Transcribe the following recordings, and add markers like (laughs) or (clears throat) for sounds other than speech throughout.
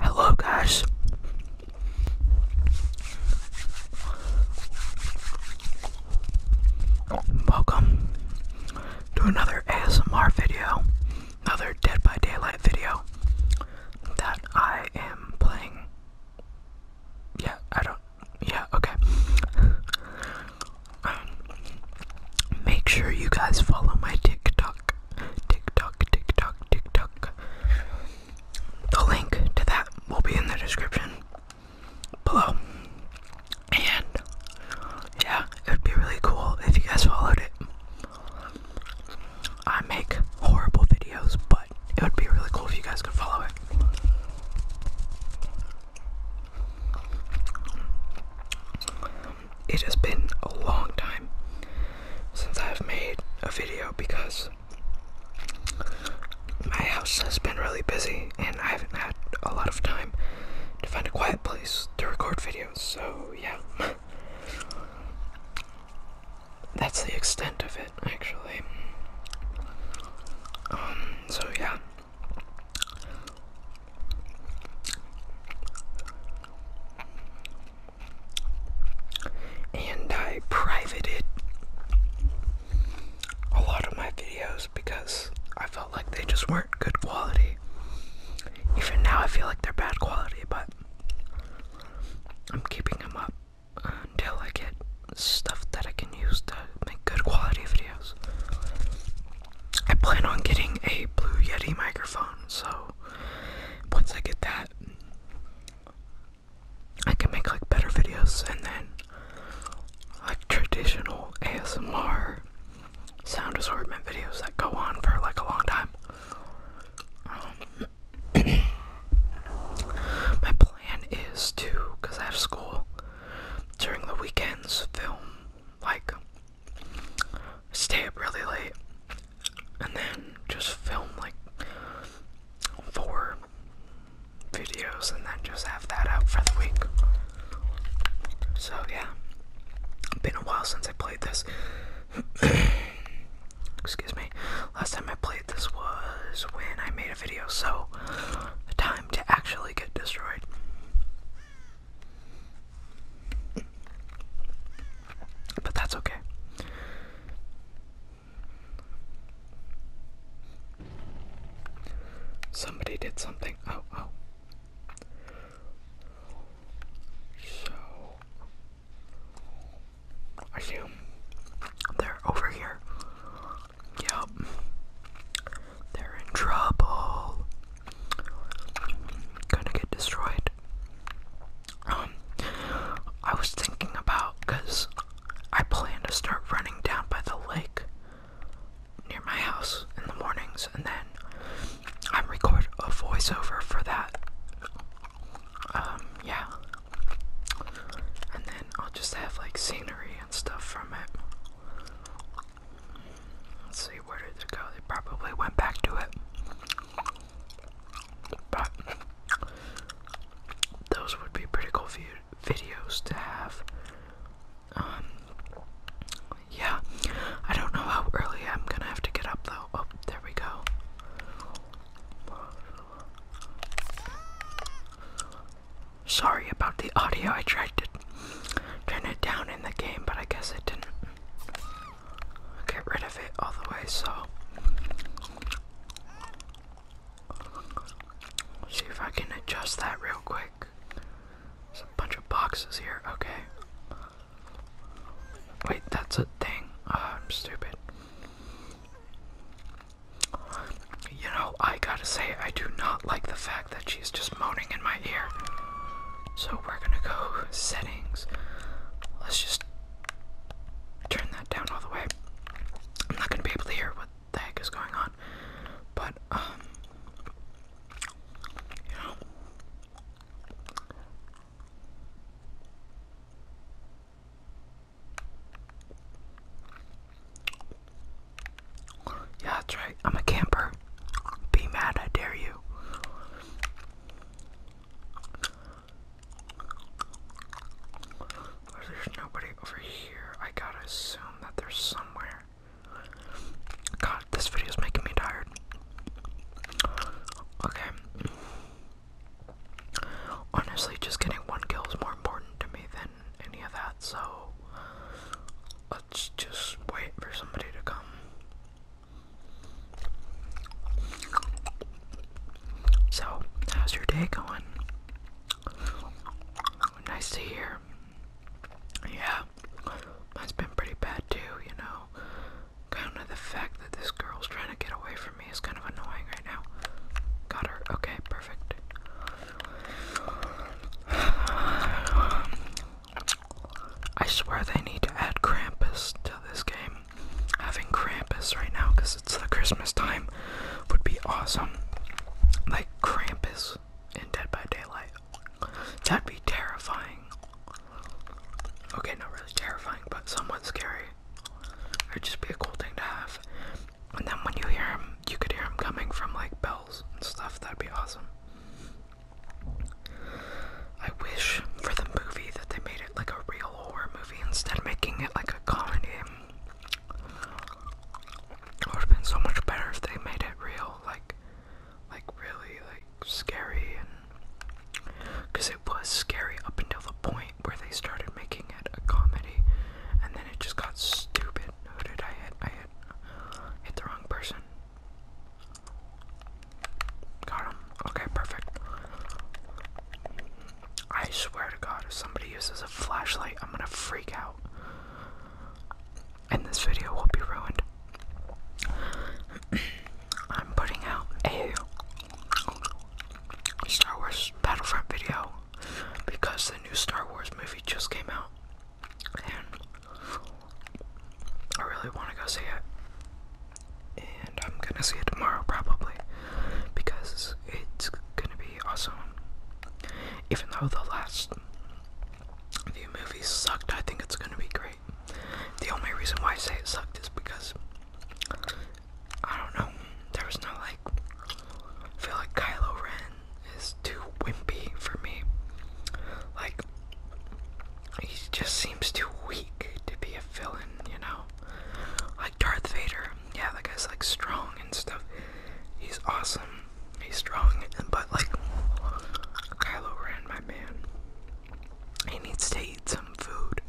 Hello, guys. Welcome to another ASMR video, another Dead by Daylight video that I am playing. Yeah, I don't. Yeah, okay make sure you guys follow my TikTok. TikTok, TikTok, TikTok. The link to that will be in the description below. And yeah, it would be really cool if you guys followed it. I make horrible videos, but it would be really cool if you guys could follow it it has been a long time since I've made a video because my house has been really busy and I haven't had a lot of time to find a quiet place to record videos, so yeah. (laughs) That's the extent of it, actually. Um, so yeah. And I privated a lot of my videos because I felt like they just weren't good quality. Even now, I feel like they're bad quality, but I'm keeping them up until I get stuff that I can use to make good quality videos. I plan on getting a Blue Yeti microphone, so once I get that, I can make like better videos and then like traditional ASMR sound assortment videos that go on for like a long time. Um, (clears throat) my plan is to, because I have school during the weekends, film like stay up really late and then just film like four videos and then just have that out for the week. So, yeah, it's been a while since I played this. (coughs) Excuse me. Last time I played this was when I made a video, so the time to actually get destroyed. But that's okay. Somebody did something. Oh, oh. So, I assume they're over here. Yep. They're in trouble gonna get destroyed. Um, I was thinking about because I plan to start running down by the lake near my house in the mornings, and then I record a voiceover for that. Um, yeah, and then I'll just have like scenery and stuff from it. Let's see, where did it go? They probably went back to it. But those would be pretty cool videos to have. Um, yeah, I don't know how early I'm gonna have to get up though. Oh, there we go. Sorry about the audio. I tried to turn it down in the game, but I guess it didn't get rid of it all the way, so see if I can adjust that real quick. There's a bunch of boxes here, okay. Wait, that's a thing. Ah, I'm stupid. You know, I gotta say, I do not like the fact that she's just moaning in my ear. So we're gonna go settings. Let's just turn that down all the way. I'm not gonna be able to hear what the heck is going on. But um you know yeah, that's right. I'm a camper. Be mad, I dare you. There's nobody over here. I gotta assume that there's somewhere. God, this video is making me tired. Okay. Honestly, just getting one kill is more important to me than any of that, so let's just wait for somebody to come. So, how's your day going? Nice to hear. Yeah, mine's been pretty bad too, you know. Kind of the fact that this girl's trying to get away from me is kind of annoying right now. Got her. Okay, perfect. (sighs) Um, I swear they need to add Krampus to this game. Having Krampus right now, because it's the Christmas time, would be awesome. Like Krampus in Dead by Daylight. That'd be terrifying. Okay, not really terrifying, but somewhat scary. It'd just be a cool thing to have. And then when you hear him, you could hear him coming from like bells and stuff. That'd be awesome. I wish for the movie that they made it like a real horror movie instead of making it like a comedy. It would have been so much better if they made it real, like, like really, like scary, and because it was scary up until the point where they started making it a comedy, and then it just got stupid. Who I hit? I hit, hit the wrong person. Got him. Okay, perfect. I swear to God, if somebody uses a flashlight, I'm gonna freak out. And this video will be ruined. (clears throat) I'm putting out a Star Wars Battlefront video because the new Star Wars movie just came out. I really want to go see it. And I'm gonna see it tomorrow probably because it's gonna be awesome. Even though the last few movies sucked, I think it's gonna be great. The only reason why I say it sucked is because I don't know, there was no like. I feel like Kylo Ren is too wimpy for me. Like, he just seems too weak to be a villain, you know? Like Darth Vader, yeah, that guy's like strong and stuff. He's awesome. He's strong, but like Kylo Ren, my man, he needs to eat some food.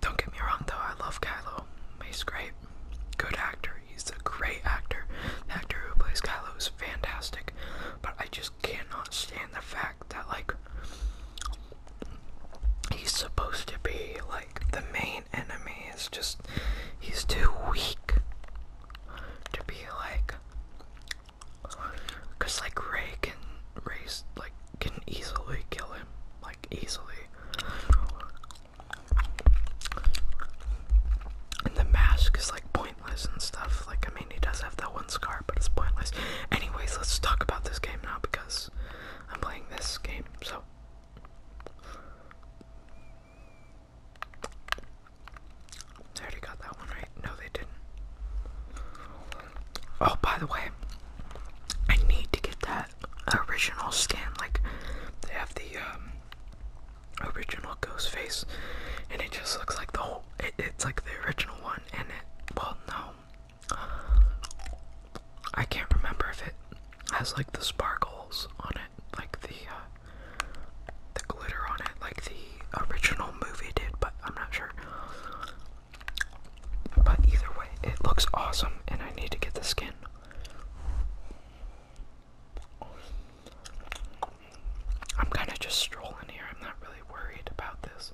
Don't get me wrong, though. I love Kylo. He's great good actor. He's a great actor. The actor who plays Kylo is fantastic. But I just cannot stand the fact that like he's supposed to be like the main enemy. It's just he's too weak to be like. Cause like Ray can race like can easily kill him like easily and the mask is like pointless and stuff. Like, I mean, he does have that one scar, but it's pointless. Anyways, let's talk about this game now because I'm playing this game, so. They already got that one right. No, they didn't. Oh, by the way, I need to get that original skin. Like they have the um, original ghost face, and it just looks like the whole. it's like the original one, and it. Well, no, I can't remember if it has like the sparkles on it, like the uh, the glitter on it, like the original movie did, but I'm not sure. But either way, it looks awesome, and I need to get the skin. I'm kind of just strolling here. I'm not really worried about this.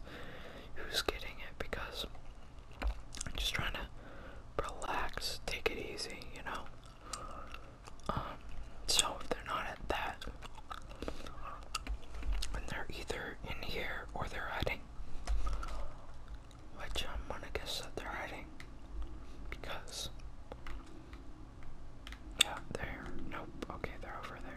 Who's getting it? Because I'm just trying to relax, take it easy, you know? Um, so if they're not at that, and they're either in here or they're hiding which I'm gonna guess that they're hiding because yeah, they're nope. Okay, they're over there.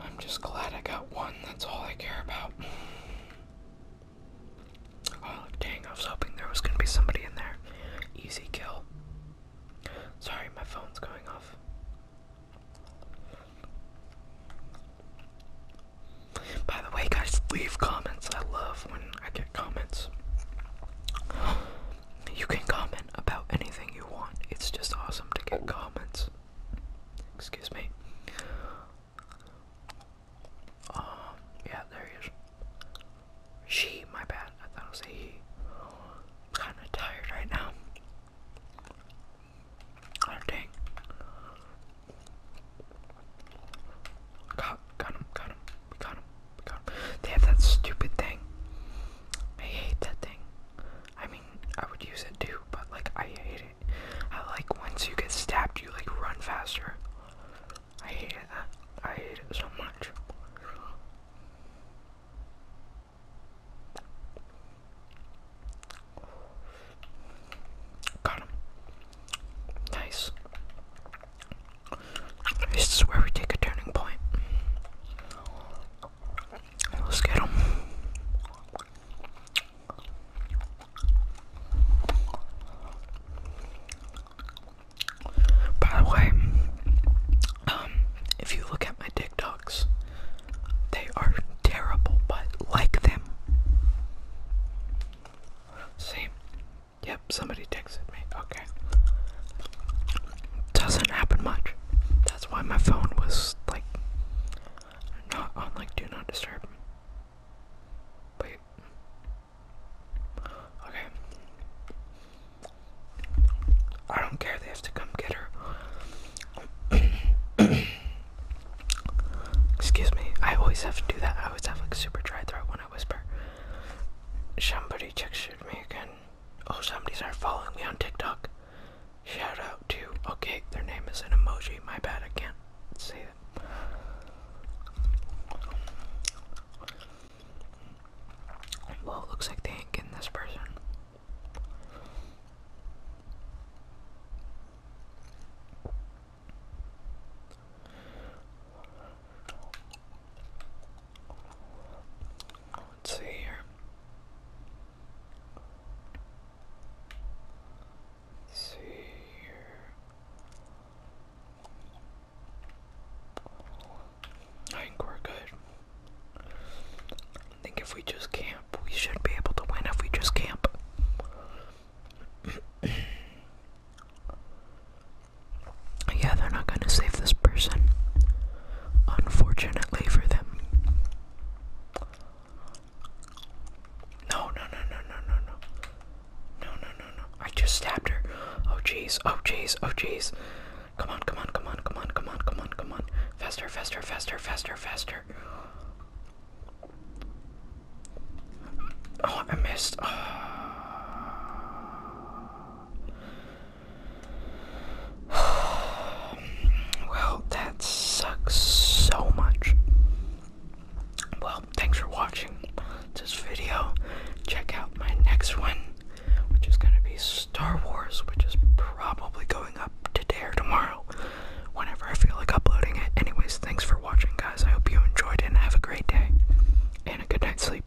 I'm just glad I got one, that's all I care about. Oh, dang, I was hoping there was gonna be somebody in there. Easy kill. Sorry, my phone's going off. By the way, guys, leave comments. I love when I get comments. You can comment about anything you want. It's just awesome to get comments. Excuse me. Um, yeah, there he is. She, my bad. I thought it was a he. Kind of tired right now. Oh dang. got him, got him. We got him. We got him. They have that stupid thing. I hate that thing. I mean, I would use it too, but like, I hate it. I like once you get stabbed, you like run faster. I hate it. I hate it so much. Got him. Nice. This is where we take a turning point. Let's get him. By the way, um, if you look at my TikToks, they are terrible, but like them. See? Yep, somebody texted me. Okay. Doesn't happen much. That's why my phone was like not on like do not disturb. Wait. Okay. I don't care, they have to come get her. (coughs) Excuse me, I always have to do that. I always have like super dry throat when I whisper. Somebody texted me again. Oh, somebody's are following me on TikTok. Shout out to. Okay, their name is an emoji. My bad, I can't say it. Well, looks like they ain't getting this person. Let's see here. Let's see here. I think we're good. I think if we just camp, we should be able to win if we just camp. (clears throat) (clears throat) Yeah, they're not going to save this person. Unfortunately for them. No, no, no, no, no, no, no. No, no, no, I just stabbed her. Oh, jeez. Oh, jeez. Oh, jeez. Come on, come on, come on, come on, come on, come on, come on. Faster, faster, faster, faster, faster. Oh, I missed. Ah. (sighs) well, that sucks so much. Well, thanks for watching this video. Check out my next one, which is going to be Star Wars, which is probably going up today or tomorrow, whenever I feel like uploading it. Anyways, thanks for watching, guys. I hope you enjoyed it and have a great day and a good night's sleep.